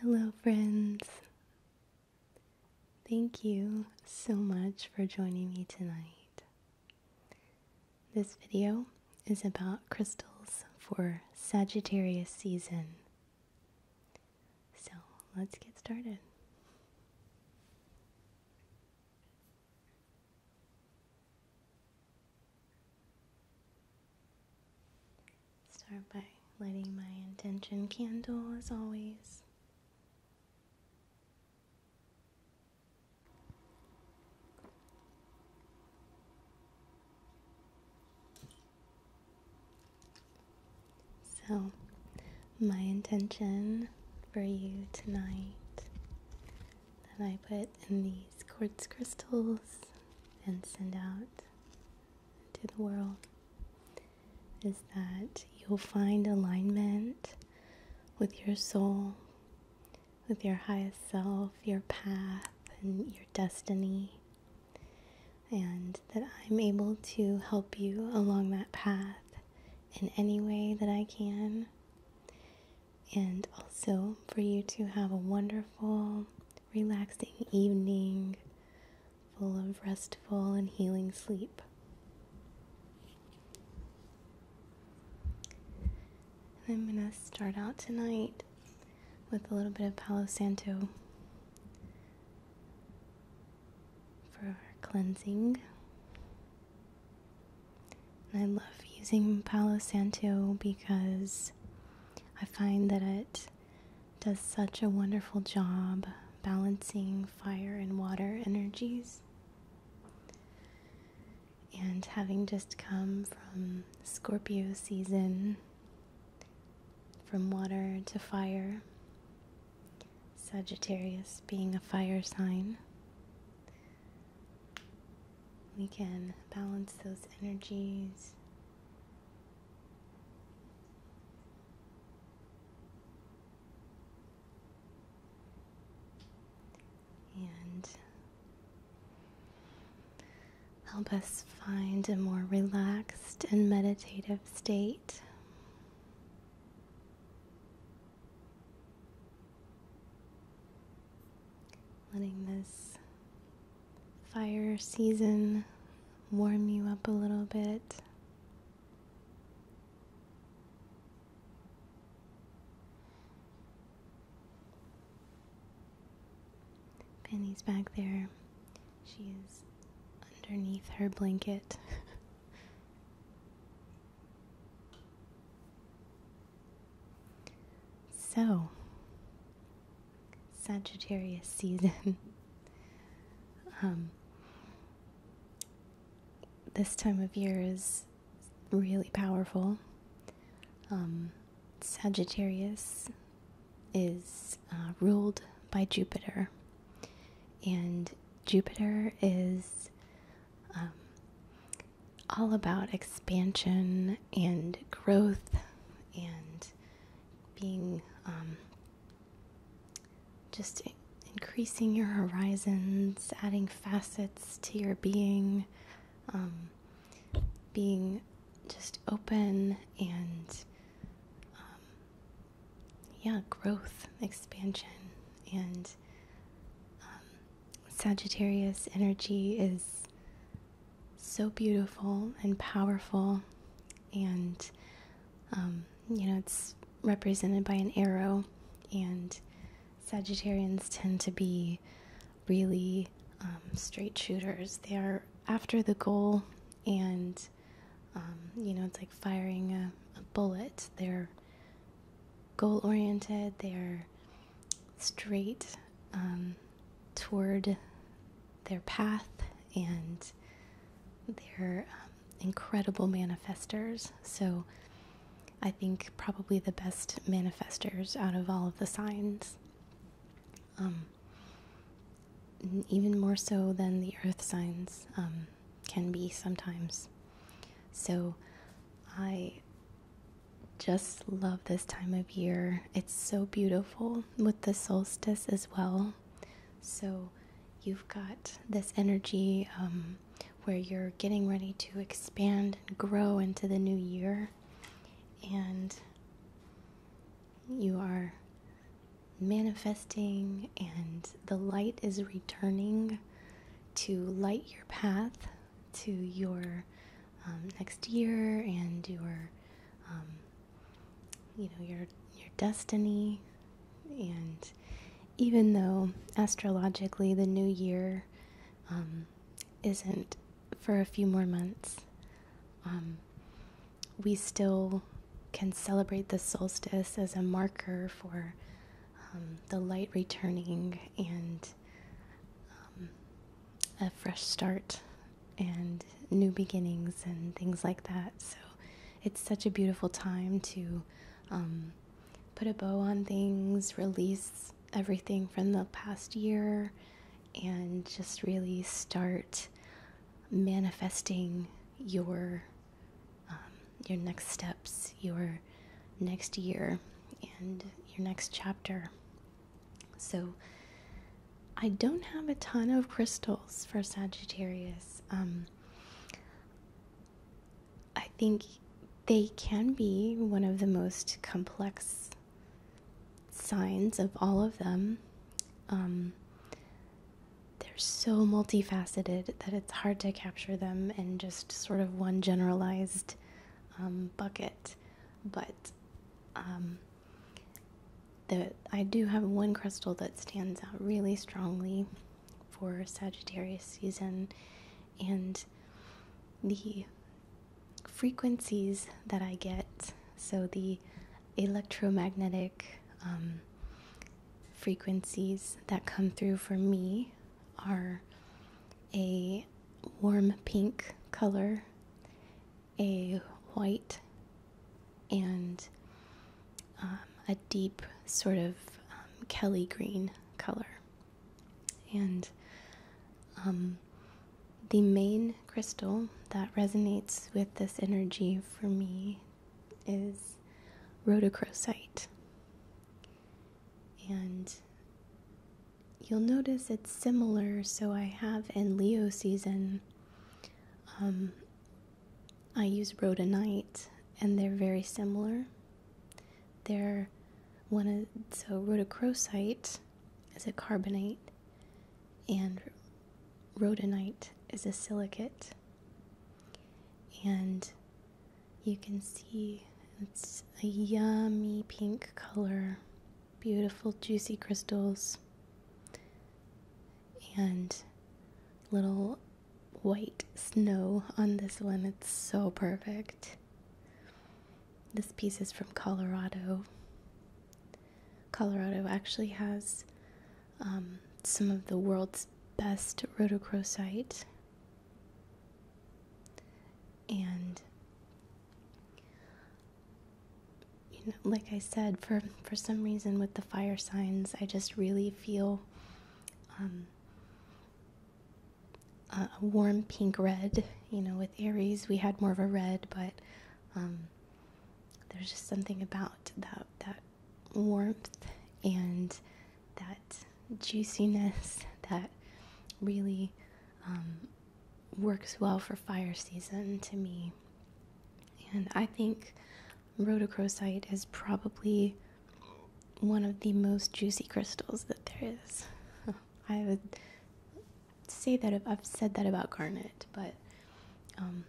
Hello, friends. Thank you so much for joining me tonight. This video is about crystals for Sagittarius season. So let's get started. Start by lighting my intention candle as always. So, my intention for you tonight that I put in these quartz crystals and send out to the world is that you'll find alignment with your soul, with your highest self, your path, and your destiny, and that I'm able to help you along that path in any way that I can and also for you to have a wonderful, relaxing evening full of restful and healing sleep. I'm going to start out tonight with a little bit of Palo Santo for cleansing. And I love using Palo Santo because I find that it does such a wonderful job balancing fire and water energies. And having just come from Scorpio season, from water to fire, Sagittarius being a fire sign, we can balance those energies. And help us find a more relaxed and meditative state. Letting this fire season warm you up a little bit. Penny's back there. she's underneath her blanket. So, Sagittarius season. Um, this time of year is really powerful. Um, Sagittarius is uh, ruled by Jupiter, and Jupiter is um, all about expansion and growth and being um, just increasing your horizons, adding facets to your being, um, being just open and yeah, growth, expansion, and Sagittarius energy is so beautiful and powerful, and um, you know, it's represented by an arrow, and Sagittarians tend to be really um, straight shooters. They are after the goal, and um, you know, it's like firing a bullet. They're goal oriented, they're straight um, toward their path, and they're um, incredible manifestors. So, I think probably the best manifestors out of all of the signs. Um, even more so than the earth signs can be sometimes. So I just love this time of year. It's so beautiful with the solstice as well. So you've got this energy um, where you're getting ready to expand and grow into the new year, and you are manifesting, and the light is returning to light your path to your um, next year and your, um, you know, your your destiny. And even though astrologically the new year um, isn't for a few more months, we still can celebrate the solstice as a marker for um, the light returning and um, a fresh start and new beginnings and things like that. So it's such a beautiful time to um, put a bow on things, release everything from the past year, and just really start manifesting your your next steps, your next year, and your next chapter. So, I don't have a ton of crystals for Sagittarius. Um, I think they can be one of the most complex signs of all of them. Um, they're so multifaceted that it's hard to capture them in just sort of one generalized um, bucket, but um, the, I do have one crystal that stands out really strongly for Sagittarius season, and the frequencies that I get, so the electromagnetic um, frequencies that come through for me are a warm pink color, a white, and um, a deep sort of um, Kelly green color. And um, the main crystal that resonates with this energy for me is rhodochrosite. And you'll notice it's similar. So I have in Leo season, um, I use rhodonite, and they're very similar. They're one of so rhodochrosite is a carbonate, and rhodonite is a silicate. And you can see it's a yummy pink color, beautiful, juicy crystals, and little white snow on this one. It's so perfect. This piece is from Colorado. Colorado actually has um, some of the world's best rhodochrosite and you know, like I said, for for some reason with the fire signs, I just really feel um, a warm pink red. You know, with Aries, we had more of a red, but um, there's just something about that that warmth and that juiciness that really um, works well for fire season to me. And I think rhodochrosite is probably one of the most juicy crystals that there is. I would say that I've said that about garnet, but um,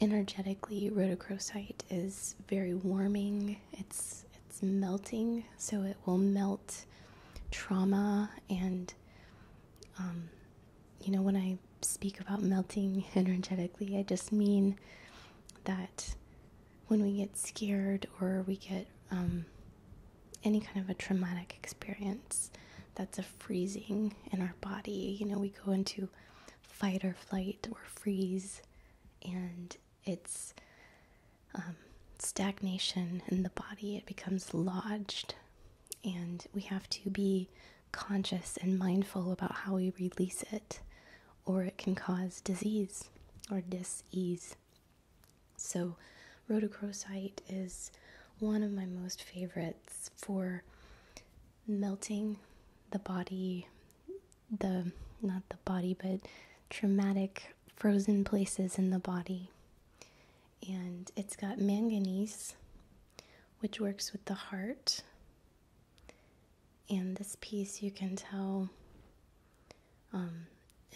energetically, rhodochrosite is very warming. It's it's melting, so it will melt trauma. And, um, you know, when I speak about melting energetically, I just mean that when we get scared or we get um, any kind of a traumatic experience, that's a freezing in our body. You know, we go into fight or flight or freeze, and it's um, stagnation in the body, it becomes lodged. And we have to be conscious and mindful about how we release it, or it can cause disease or dis ease. So, rhodochrosite is one of my most favorites for melting the body, the not the body, but traumatic frozen places in the body. And it's got manganese, which works with the heart. And this piece, you can tell, um,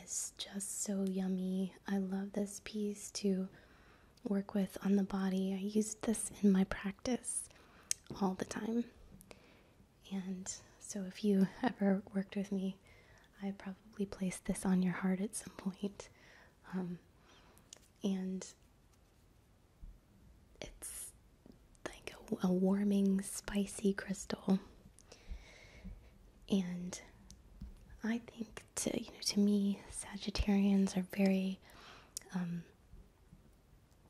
is just so yummy. I love this piece to work with on the body. I use this in my practice all the time. And so, if you ever worked with me, I probably placed this on your heart at some um, and it's like a, warming, spicy crystal. And I think to to me Sagittarians are very um,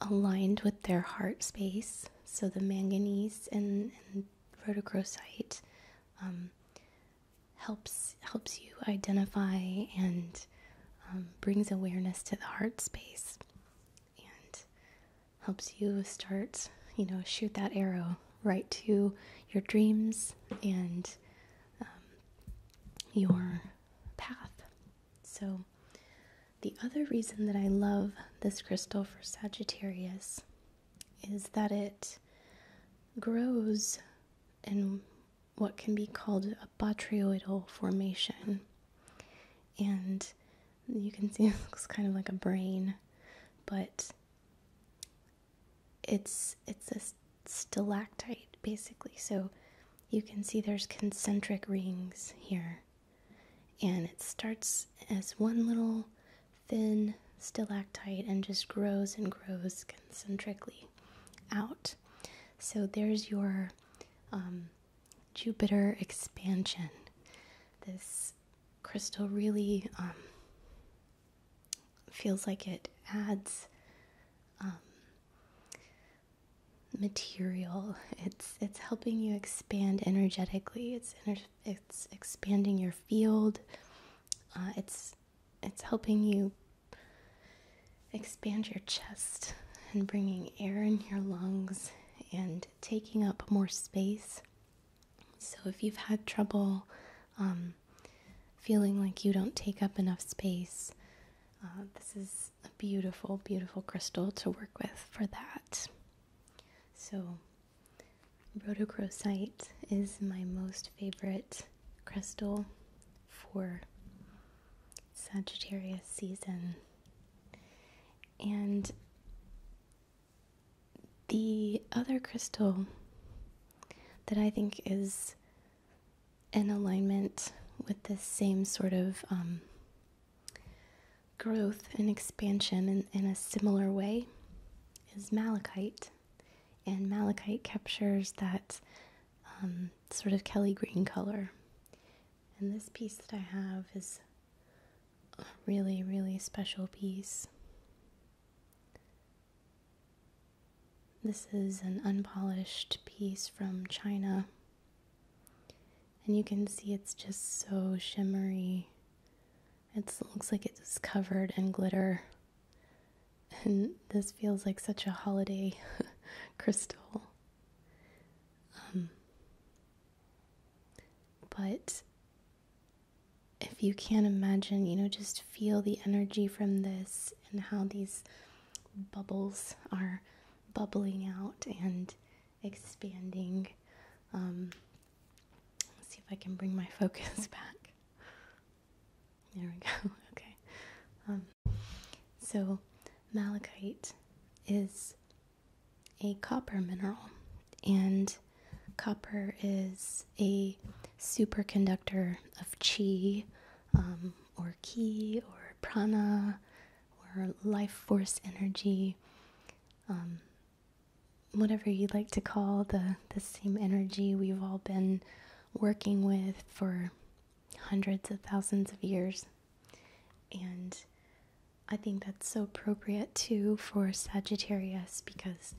aligned with their heart space. So the manganese and rhodochrosite um, helps helps you identify and um, brings awareness to the heart space and helps you start you know shoot that arrow right to your dreams and um, your path so the other reason that I love this crystal for Sagittarius is that it grows in what can be called a botryoidal formation. And you can see it looks kind of like a brain, but it's it's a stalactite basically. So you can see there's concentric rings here and it starts as one little thin stalactite and just grows and grows concentrically out. So there's your um, Jupiter expansion. This crystal really um, feels like it adds um, material. It's it's helping you expand energetically. It's it's expanding your field uh, it's it's helping you expand your chest and bringing air in your lungs and taking up more space so if you've had trouble um, feeling like you don't take up enough space uh, this is a beautiful beautiful crystal to work with for that so Rhodochrosite is my most favorite crystal for Sagittarius season. And the other crystal that I think is in alignment with this same sort of um, growth and expansion in, in a similar way is malachite. And malachite captures that um, sort of Kelly green color. And this piece that I have is a really, really special piece. This is an unpolished piece from China. And you can see it's just so shimmery it looks like it's covered in glitter. And this feels like such a holiday crystal. Um, but if you can't imagine, you know, just feel the energy from this and how these bubbles are bubbling out and expanding. Um, Let's see if I can bring my focus back. There we go. Okay. Um, so, malachite is a copper mineral, and copper is a superconductor of chi, um, or ki, or prana, or life force energy. Um, whatever you'd like to call the, the same energy we've all been working with for hundreds of thousands of years. And I think that's so appropriate too for Sagittarius because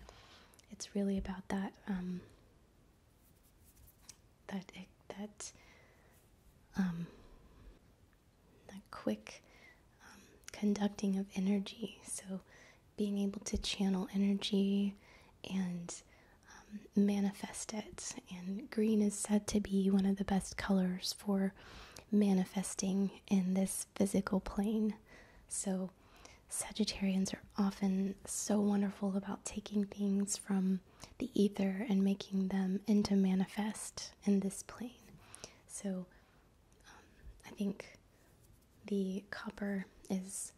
it's really about that um, that that um, that quick um, conducting of energy. So, being able to channel energy and um, manifest it. And green is said to be one of the best colors for manifesting in this physical plane. So, Sagittarians are often so wonderful about taking things from the ether and making them into manifest in this plane. So, I think the copper is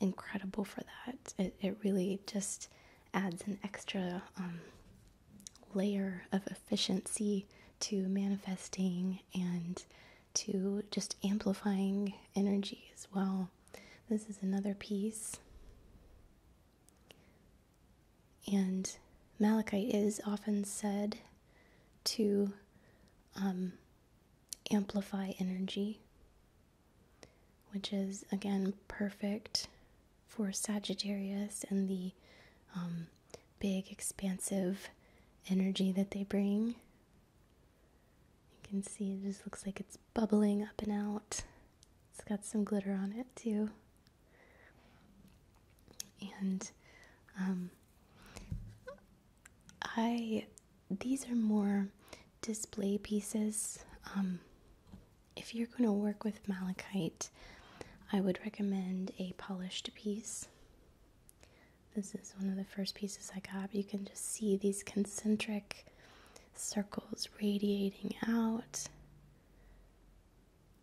incredible for that. It, it really just adds an extra um, layer of efficiency to manifesting and to just amplifying energy as well. This is another piece. And malachite is often said to um, amplify energy, which is again perfect for Sagittarius and the um, big, expansive energy that they bring. You can see it just looks like it's bubbling up and out. It's got some glitter on it too. And um, I, these are more display pieces. Um, if you're going to work with malachite, I would recommend a polished piece. This is one of the first pieces I got. You can just see these concentric circles radiating out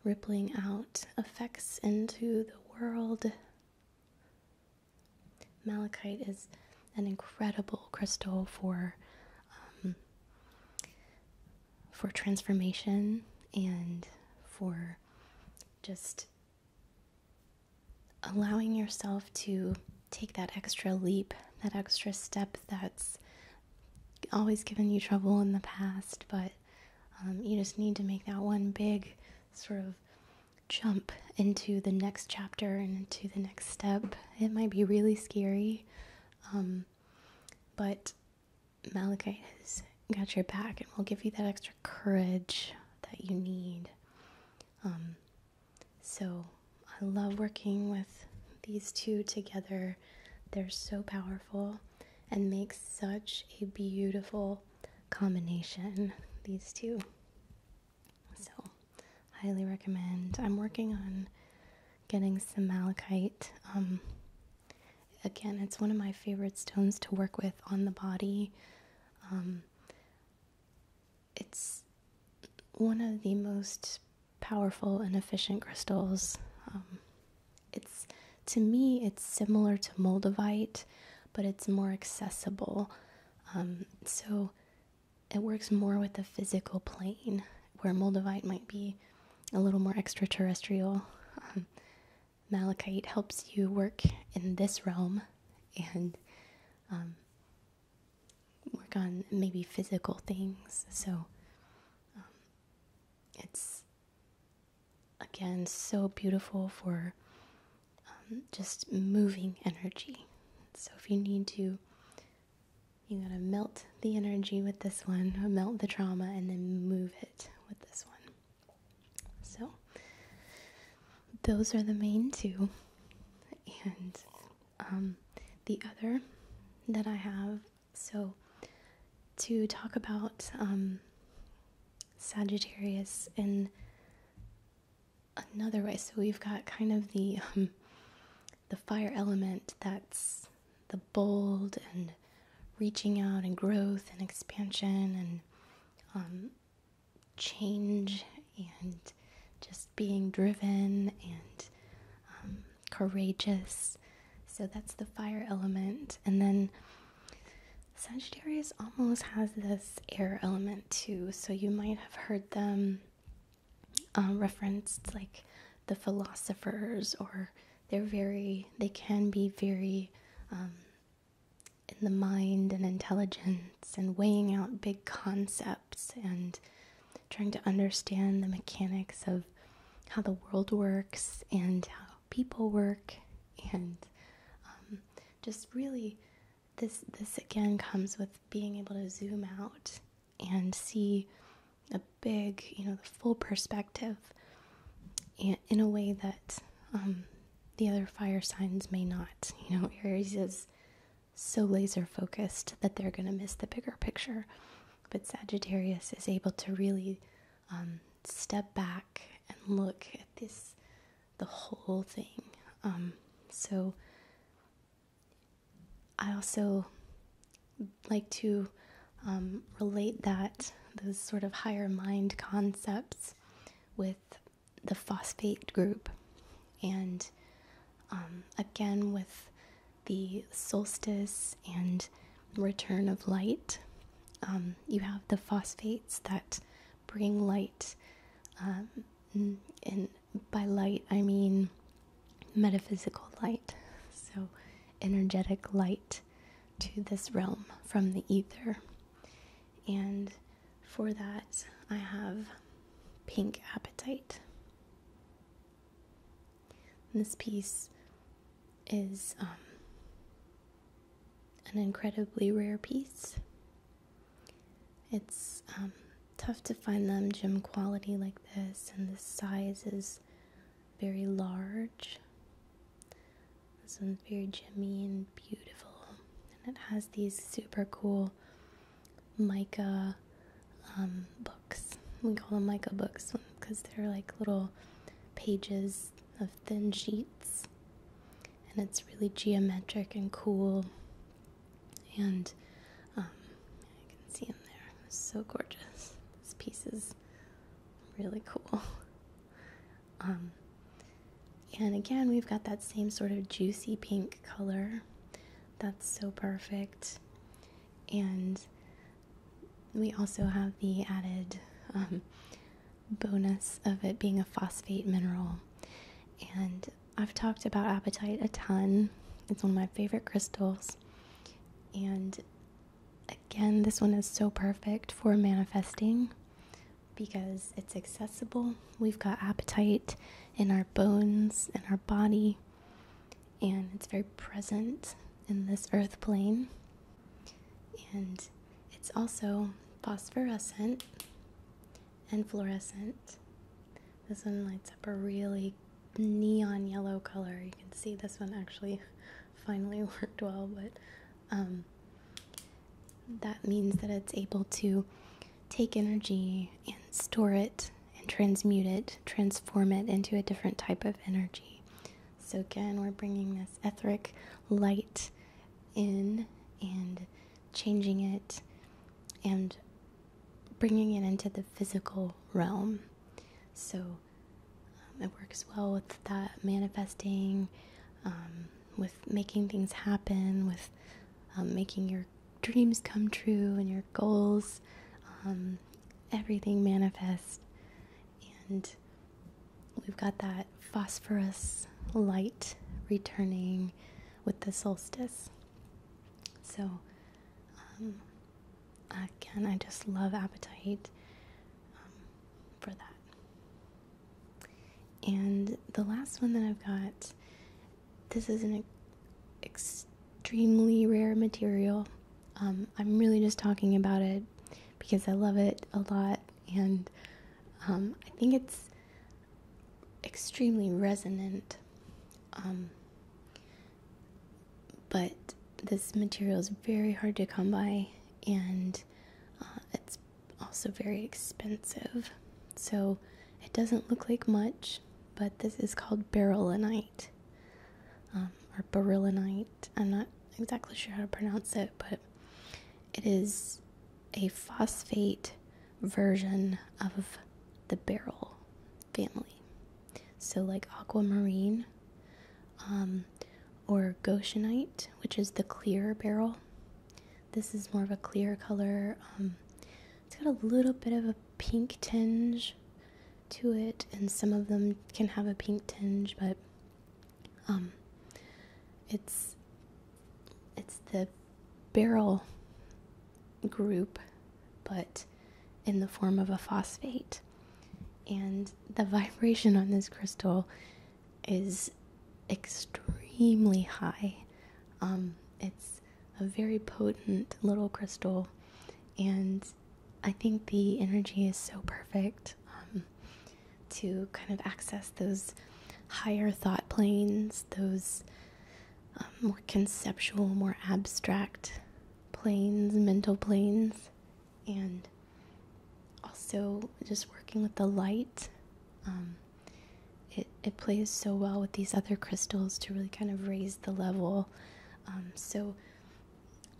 rippling out effects into the world. Malachite is an incredible crystal for um, for transformation and for just allowing yourself to take that extra leap, that extra step that's always given you trouble in the past, but um, you just need to make that one big sort of jump into the next chapter and into the next step. It might be really scary, um, but Malachite has got your back and will give you that extra courage that you need. Um, so I love working with these two together. They're so powerful and make such a beautiful combination, these two. So, highly recommend. I'm working on getting some malachite. Um, again, it's one of my favorite stones to work with on the body. Um, it's one of the most powerful and efficient crystals. Um, it's to me, it's similar to Moldavite, but it's more accessible. Um, so it works more with the physical plane, where Moldavite might be a little more extraterrestrial. Um, malachite helps you work in this realm and um, work on maybe physical things. So it's again, so beautiful for um, just moving energy. So if you need to, you gotta melt the energy with this one, melt the trauma, and then move it with this one. So those are the main two. And um, the other that I have, so to talk about um, Sagittarius in another way. So we've got kind of the um, the fire element that's the bold and reaching out and growth and expansion and um, change and just being driven and um, courageous. So that's the fire element, and then Sagittarius almost has this air element too, so you might have heard them um, referenced like the philosophers, or they're very, they can be very um, in the mind and intelligence and weighing out big concepts and trying to understand the mechanics of how the world works and how people work and um, just really this this again comes with being able to zoom out and see a big you know the full perspective in a way that um, the other fire signs may not you know aries is so laser focused that they're going to miss the bigger picture but sagittarius is able to really um, step back and look at this, the whole thing. Um, so I also like to um, relate that, those sort of higher mind concepts, with the phosphate group. And again, with the solstice and return of light. Um, you have the phosphates that bring light. Um, and by light, I mean metaphysical light. So, energetic light to this realm from the ether. And for that, I have pink appetite. And this piece is um, an incredibly rare piece. It's um, tough to find them gem quality like this, and the size is very large. This one's very gemmy and beautiful. And it has these super cool mica um, books. We call them mica books because they're like little pages of thin sheets, and it's really geometric and cool. And um, I can see him there. so gorgeous. This piece is really cool. Um, and again, we've got that same sort of juicy pink color. That's so perfect. And we also have the added um, bonus of it being a phosphate mineral. And I've talked about appetite a ton, it's one of my favorite crystals. And again, this one is so perfect for manifesting because it's accessible. We've got appetite in our bones, in our body, and it's very present in this earth plane. And it's also phosphorescent and fluorescent. This one lights up a really neon yellow color. You can see this one actually finally worked well, but um, that means that it's able to take energy and store it and transmute it, transform it into a different type of energy. So again, we're bringing this etheric light in and changing it and bringing it into the physical realm. So um, it works well with that manifesting, um, with making things happen, with um, making your dreams come true and your goals, everything manifest and we've got that phosphorus light returning with the solstice. So, um, again, I just love appetite um, for that. And the last one that I've got this is an extremely rare material. Um, I'm really just talking about it because I love it a lot and um, I think it's extremely resonant. Um, but this material is very hard to come by, and uh, it's also very expensive. So it doesn't look like much, but this is called beryllinite um, or beryllinite. I'm not exactly sure how to pronounce it, but it is a phosphate version of the beryl family. So, like aquamarine um, or goshenite, which is the clear beryl. This is more of a clear color. Um, it's got a little bit of a pink tinge to it, and some of them can have a pink tinge, but um, it's it's the barrel group, but in the form of a phosphate. And the vibration on this crystal is extremely high. Um, it's a very potent little crystal, and I think the energy is so perfect. Um, to kind of access those higher thought planes, those um, more conceptual, more abstract planes, mental planes, and also just working with the light. Um, it, it plays so well with these other crystals to really kind of raise the level. Um, so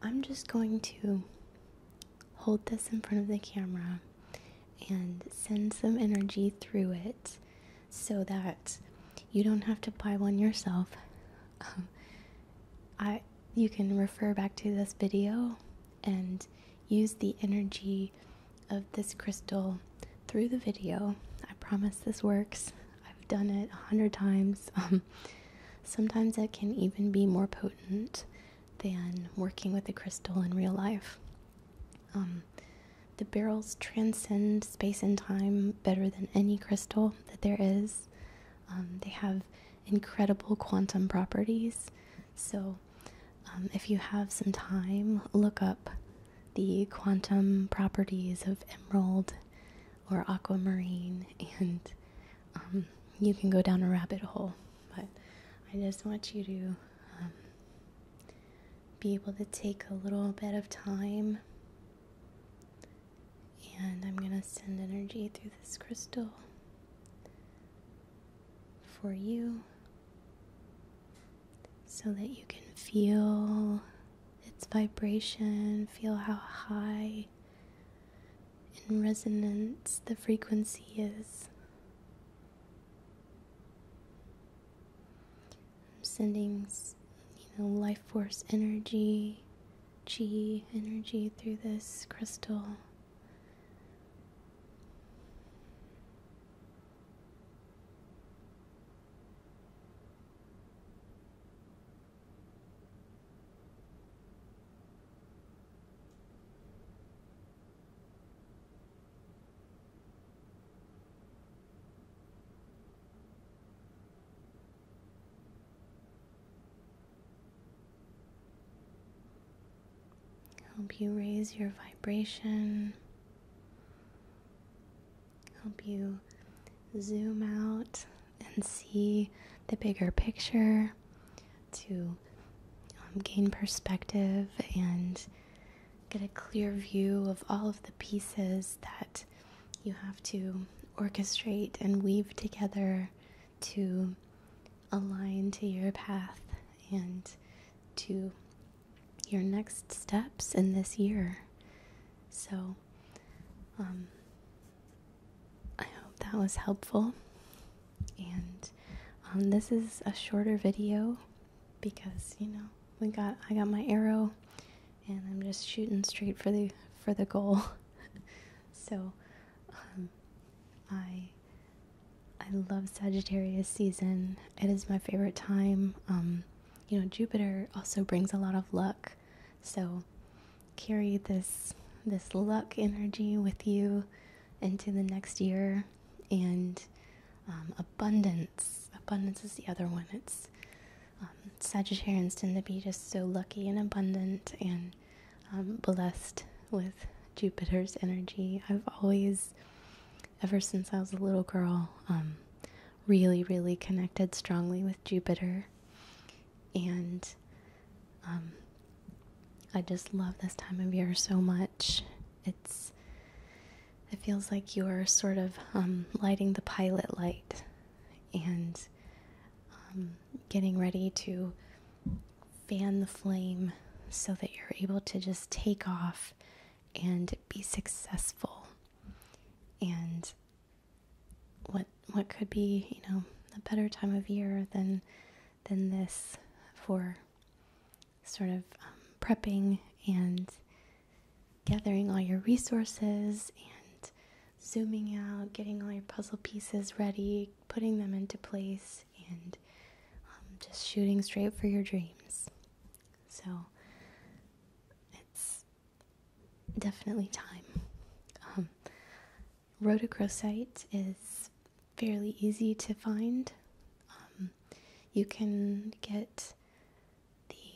I'm just going to hold this in front of the camera and send some energy through it so that you don't have to buy one yourself. Um, I you can refer back to this video and use the energy of this crystal through the video. I promise this works. I've done it a hundred times. Um, sometimes it can even be more potent than working with the crystal in real life. Um, the barrels transcend space and time better than any crystal that there is. Um, they have incredible quantum properties. So, um, if you have some time, look up the quantum properties of emerald or aquamarine, and you can go down a rabbit hole but I just want you to um, be able to take a little bit of time. And I'm going to send energy through this crystal for you so that you can feel its vibration, feel how high in resonance the frequency is. I'm sending, you know, life force energy, chi energy through this crystal. Help you raise your vibration. Help you zoom out and see the bigger picture to um, gain perspective and get a clear view of all of the pieces that you have to orchestrate and weave together to align to your path and to your next steps in this year. So, um, I hope that was helpful and um, this is a shorter video because you know we got I got my arrow and I'm just shooting straight for the for the goal so um, I I love Sagittarius season it is my favorite time um, you know Jupiter also brings a lot of luck so carry this this luck energy with you into the next year. And um, abundance, abundance is the other one. It's um, Sagittarians tend to be just so lucky and abundant and um, blessed with Jupiter's energy. I've always, ever since I was a little girl, really, really connected strongly with Jupiter. And um, I just love this time of year so much. It's it feels like you're sort of um, lighting the pilot light and um, getting ready to fan the flame so that you're able to just take off and be successful. And what what could be, you know, a better time of year than than this for sort of um, prepping and gathering all your resources and zooming out, getting all your puzzle pieces ready, putting them into place, and um, just shooting straight for your dreams. So it's definitely time. Um, Rhodochrosite is fairly easy to find. Um, you can get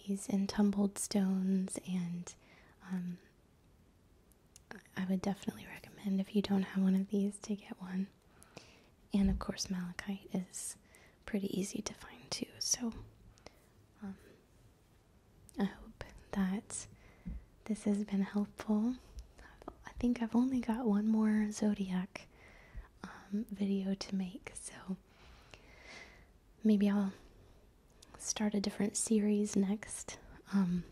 these in tumbled stones, and um, I would definitely recommend if you don't have one of these to get one. And of course, malachite is pretty easy to find too. So um, I hope that this has been helpful. I think I've only got one more zodiac um, video to make, so maybe I'll start a different series next. Um,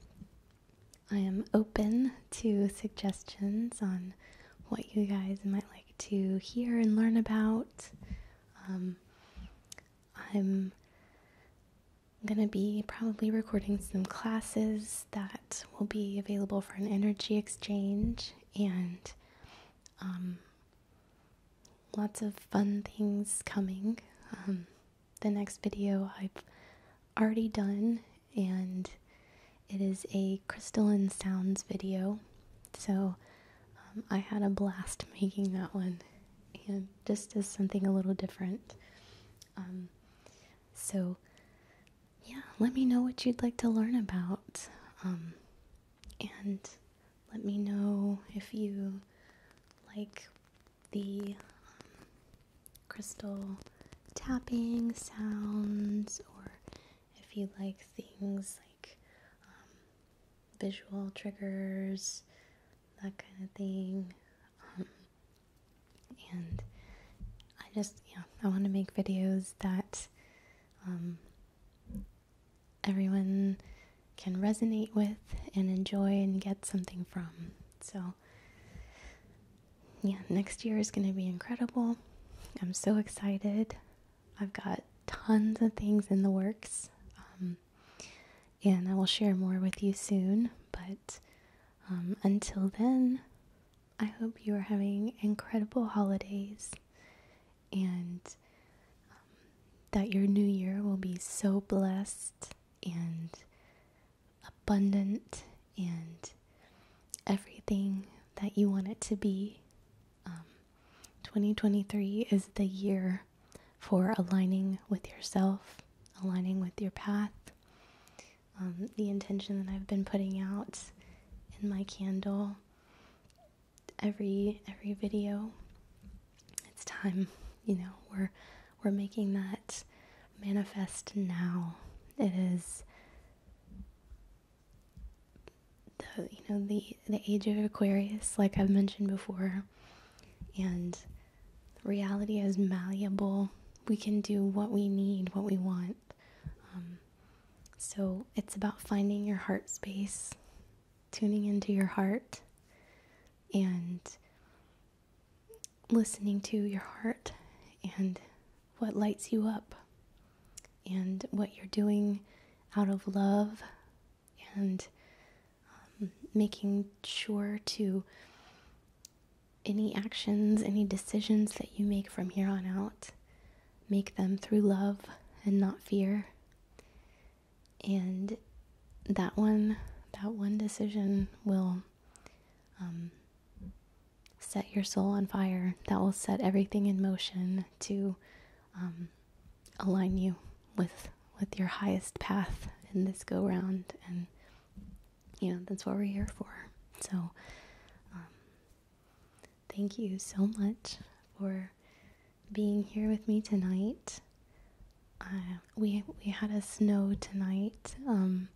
I am open to suggestions on what you guys might like to hear and learn about. Um, I'm going to be probably recording some classes that will be available for an energy exchange and um, lots of fun things coming. Um, the next video I've already done, and it is a crystalline sounds video. So um, I had a blast making that one, and just as something a little different. so yeah, let me know what you'd like to learn about. Um, and let me know if you like the um, crystal tapping sounds or if you like things like um, visual triggers, that kind of thing and I just yeah I want to make videos that um, everyone can resonate with and enjoy and get something from. So yeah, next year is going to be incredible. I'm so excited. I've got tons of things in the works, um, and I will share more with you soon. But um, until then, I hope you are having incredible holidays and um, that your new year will be so blessed and abundant and everything that you want it to be. Um, 2023 is the year for aligning with yourself, aligning with your path, um, the intention that I've been putting out in my candle every every video. It's time, you know, we're we're making that manifest now. It is the you know the the age of Aquarius, like I've mentioned before, and reality is malleable. We can do what we need, what we want. Um, so it's about finding your heart space, tuning into your heart, and listening to your heart and what lights you up and what you're doing out of love and um, making sure to any actions, any decisions that you make from here on out, make them through love and not fear. And that one, that one decision will um, set your soul on fire. That will set everything in motion to um, align you with with your highest path in this go round you know, that's what we're here for. So, um, thank you so much for being here with me tonight. we we had a snow tonight, um,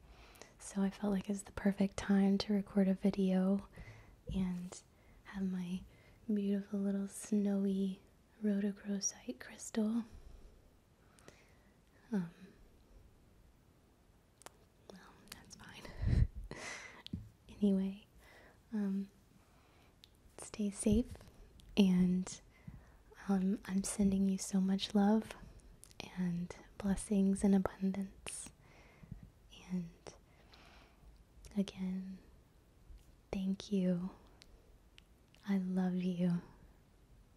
so I felt like it's the perfect time to record a video and have my beautiful little snowy rhodochrosite crystal. Um, well, that's fine. anyway, um, stay safe, and um, I'm sending you so much love and blessings and abundance. And again, thank you. I love you.